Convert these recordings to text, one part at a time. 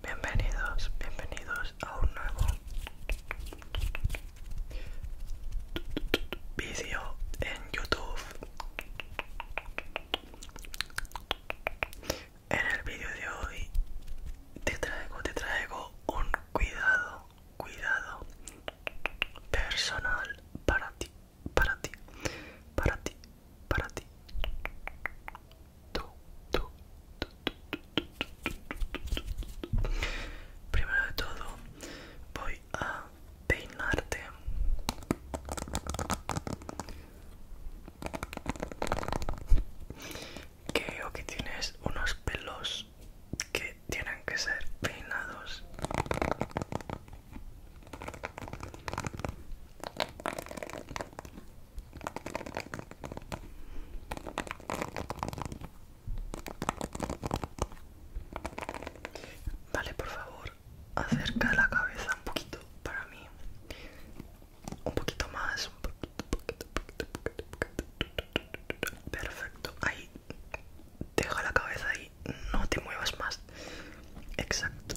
Bienvenidos, bienvenidos a un nuevo vídeo en YouTube. En el vídeo de hoy te traigo, te traigo un cuidado, cuidado personal para ti para ti, para ti, para ti. Primero de todo, voy a peinarte. Creo que tienes unos pelos que tienen que ser peinados. Vale, por favor, acerca la cabeza un poquito para mí. Un poquito más, Perfecto, ahí Deja la cabeza ahí, no te muevas más. Exacto.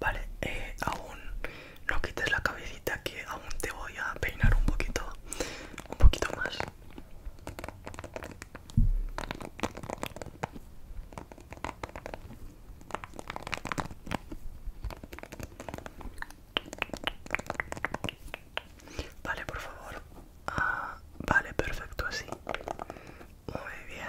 Vale, eh, aún no quites la cabecita que aún te voy a peinar un poquito, un poquito más. Vale, por favor. Ah, vale, perfecto, así. Muy bien.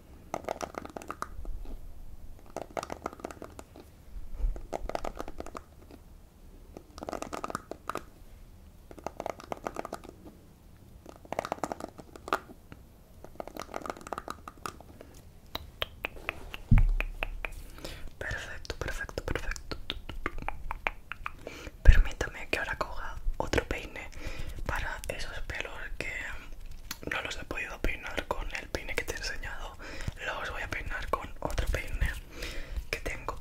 Perfecto, perfecto, perfecto. Permítame que ahora coja otro peine para esos pelos que no los he podido peinar con el peine que te he enseñado los voy a peinar con otro peine que tengo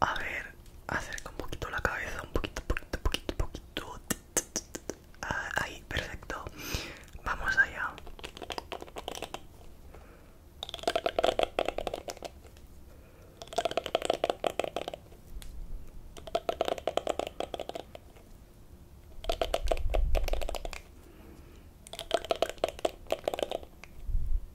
A ver, acerca un poquito la cabeza, un poquito, poquito, poquito, poquito. Ah, ahí, perfecto. Vamos allá.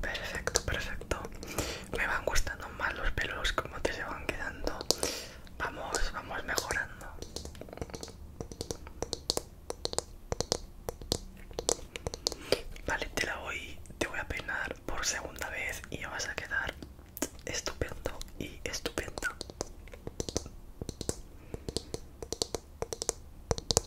Perfecto, perfecto. Me van gustando más los pelos como te se van quedando. Vamos, vamos mejorando. Vale, te la voy, te voy a peinar por segunda vez y vas a quedar estupendo y estupendo.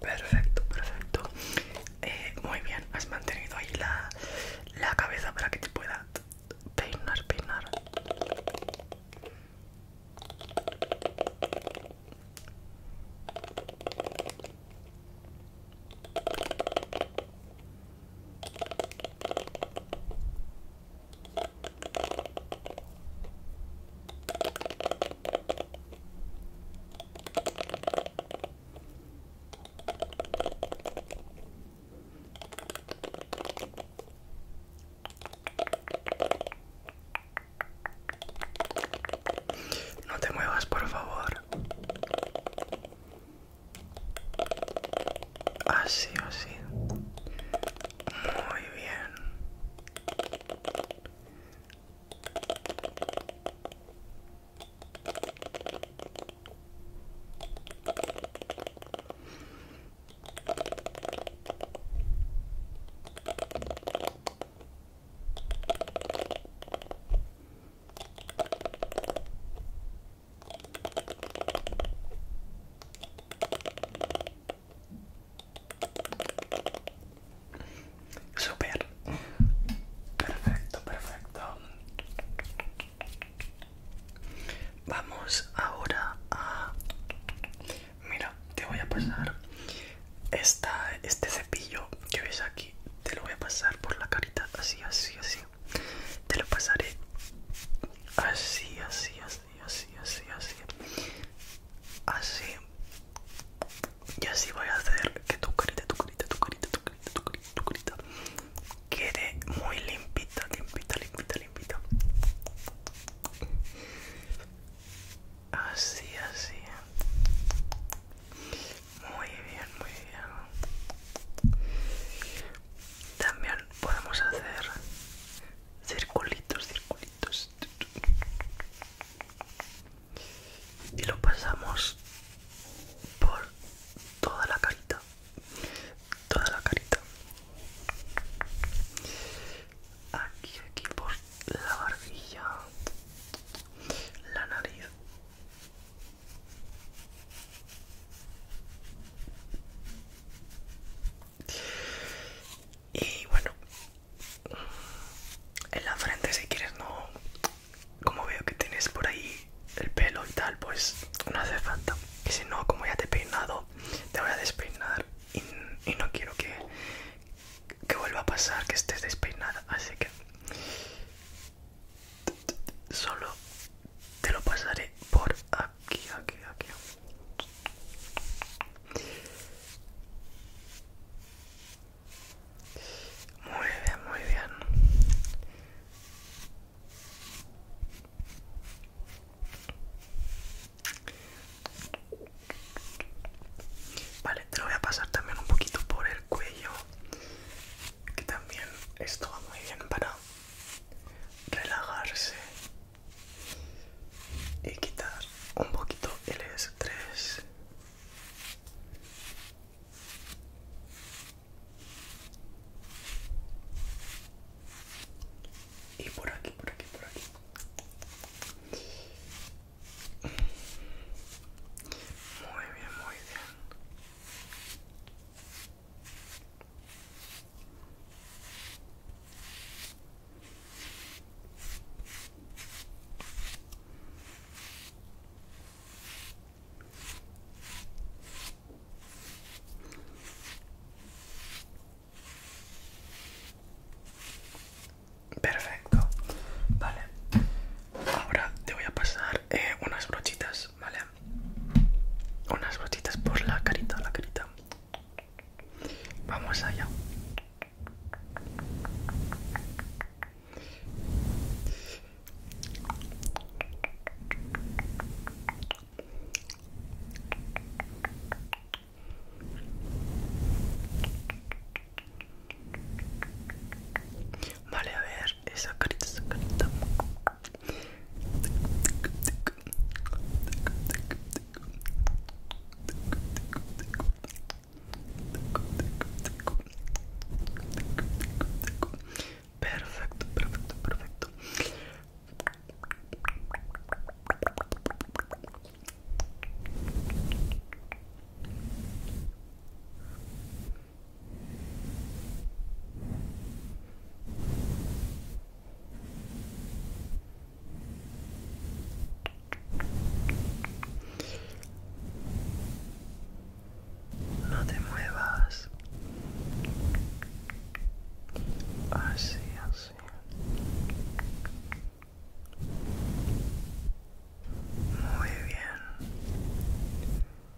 Perfecto, perfecto. Eh, muy bien, has mantenido ahí la, la cabeza para que te pueda peinar, peinar. Não te muevas, por favor. Así así. Muy bien. Super. Perfecto, perfecto. Vamos ahora a... Mira, te voy a pasar esta, este cepillo que ves aquí. Te lo voy a pasar por la carita así, así, así te lo pasaré así así así así así así así y así voy a hacer que tu carita tu carita tu carita tu carita tu carita tu carita quede muy limpita limpita limpita limpita así así muy bien muy bien también podemos hacer circulitos, circulitos y lo pasamos por toda la carita, toda la carita. Aquí, aquí por la barbilla, la nariz. Y bueno, en la frente si quieres no, como veo que tienes por ahí el pelo y tal, pues no hace falta. Y si no, como ya te he peinado, te voy a despeinar y, no quiero que, que vuelva a pasar que estés despeinada, así que solo te lo pasaré por aquí, aquí, aquí. Muy bien, muy bien. Vale, te lo voy a pasar también un poquito por el cuello, que también esto va muy bien para relajarse y quitar un poquito el estrés. Y por aquí, por aquí, por aquí. Muy bien, muy bien. Perfecto, vale. Ahora te voy a pasar eh, unas brochitas ¿vale? Unas gotitas por la carita, la carita. Vamos allá. Vale, a ver, esa carita, esa carita. Perfecto, perfecto, perfecto. No te muevas. Así, así. Muy bien.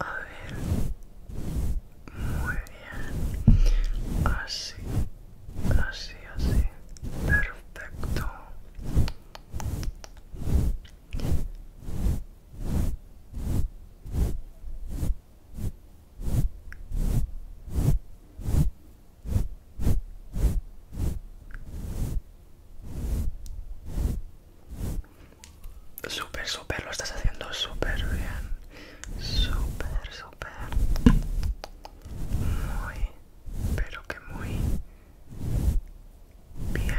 A ver. Muy bien. Así. Así, así. Perfecto. Súper, súper, lo estás haciendo súper bien. Súper, súper. Muy, pero que muy bien.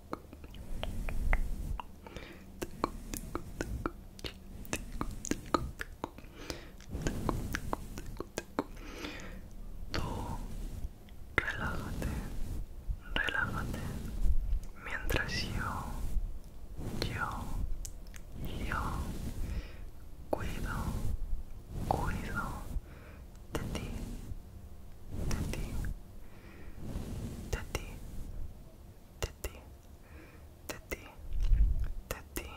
Tú relájate, relájate mientras yo, yo, yo cuido, cuido de ti, de ti, de ti, de ti, de ti, ti, ti,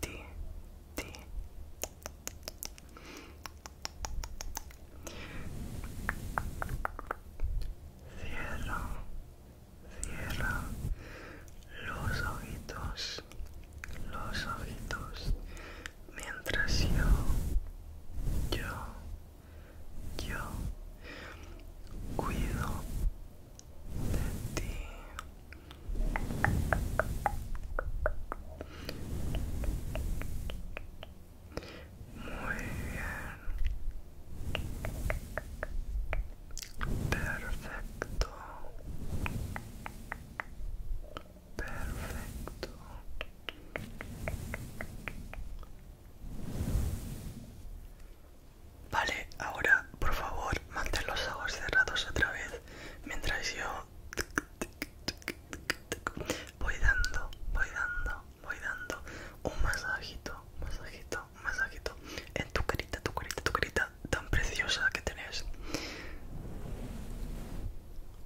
ti. los ojitos, los ojitos, mientras yo, yo, yo cuido de ti. Muy bien. Perfecto. Perfecto. Vale, ahora por favor mantén los ojos cerrados otra vez mientras yo voy dando, voy dando, voy dando un masajito, masajito, masajito en tu carita, tu carita, tu carita tan preciosa que tenés.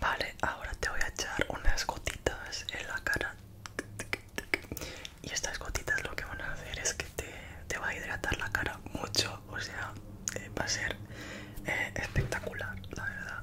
Vale, ahora te voy a echar unas gotitas en la cara. Y estas gotitas lo que van a hacer es que te, va a hidratar la cara mucho, o sea, eh, va a ser eh, espectacular, la verdad.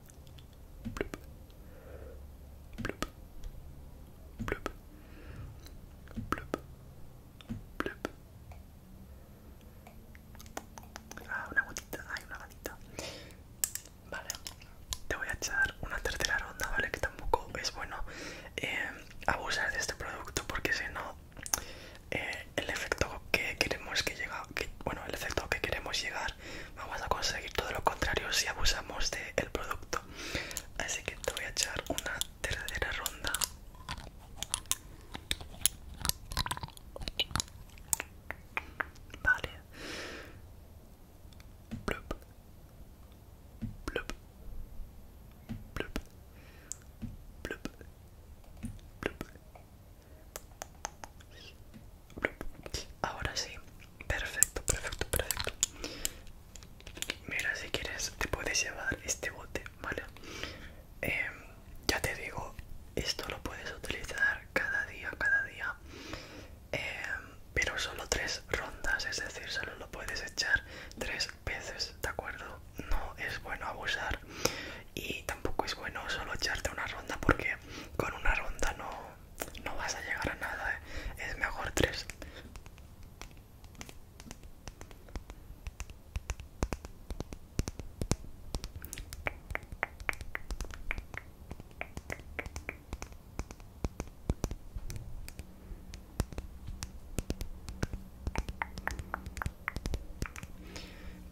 Ah, una gotita, hay una gotita. Vale, te voy a echar una tercera ronda, ¿vale? Que tampoco es bueno eh, abusar de este producto porque si no, eh, el efecto que queremos que llega, bueno, el efecto que queremos llegar vamos a conseguir todo lo contrario si abusamos del producto. Así que te voy a echar una tercera ronda. Vale. Ahora sí, perfecto, perfecto, perfecto. Mira, si quieres, te puedes llevar este bote, ¿vale? Em, ya te digo, esto lo puedes utilizar cada día, cada día. Em, pero solo tres rondas, es decir, solo lo puedes echar tres veces, ¿de acuerdo? No es bueno abusar y tampoco es bueno solo echarte una ronda porque con una ronda no, no vas a llegar a nada, ¿eh? es mejor tres.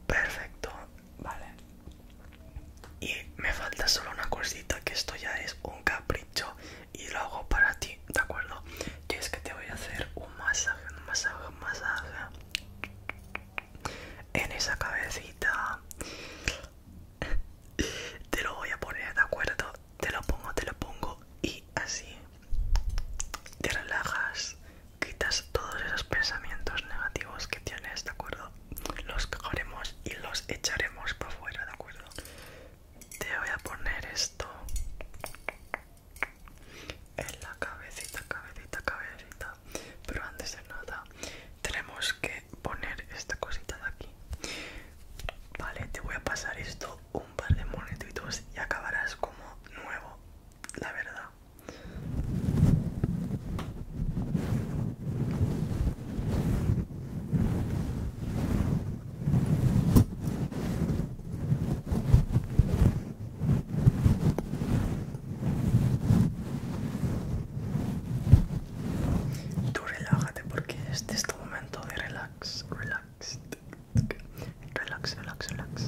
Perfecto, Vale. Y me falta solo una cosita, que esto ya es un capricho y lo hago para ti, ¿de acuerdo? y es que te voy a hacer un masaje, un masaje, un masaje. En esa cabecita. Te lo voy a poner, ¿de acuerdo? Te lo pongo, te lo pongo y así. Te relajas, quitas todos esos pensamientos negativos que tienes, ¿de acuerdo? los cagaremos y los echaremos para afuera, ¿de acuerdo? Te voy a poner esto en la cabecita, cabecita, cabecita. Pero antes de nada, tenemos que poner esta cosita de aquí. Vale, te voy a pasar esto un par de monetitos y acabarás como nuevo, la verdad. Tú relájate porque este es tu momento de relax, relax, relax, relax, relax.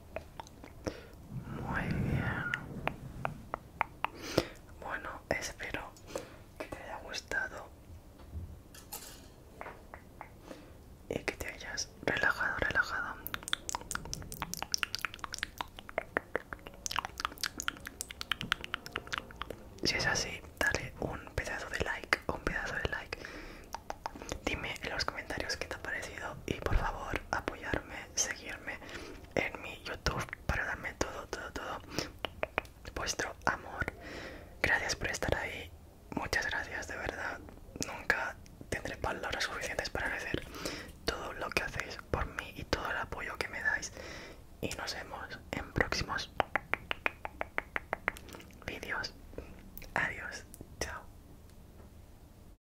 Muy bien. Bueno, espero que te haya gustado y que te hayas relajado, relajado. Si es así, dale un pedazo de like, un pedazo de like. Dime en los comentarios qué te ha parecido y por favor apoyar seguirme en mi YouTube para darme todo, todo, todo vuestro amor. Gracias por estar ahí, muchas gracias de verdad. Nunca tendré palabras suficientes para agradecer todo lo que hacéis por mí y todo el apoyo que me dais. Y nos vemos en próximos vídeos. Adiós, chao.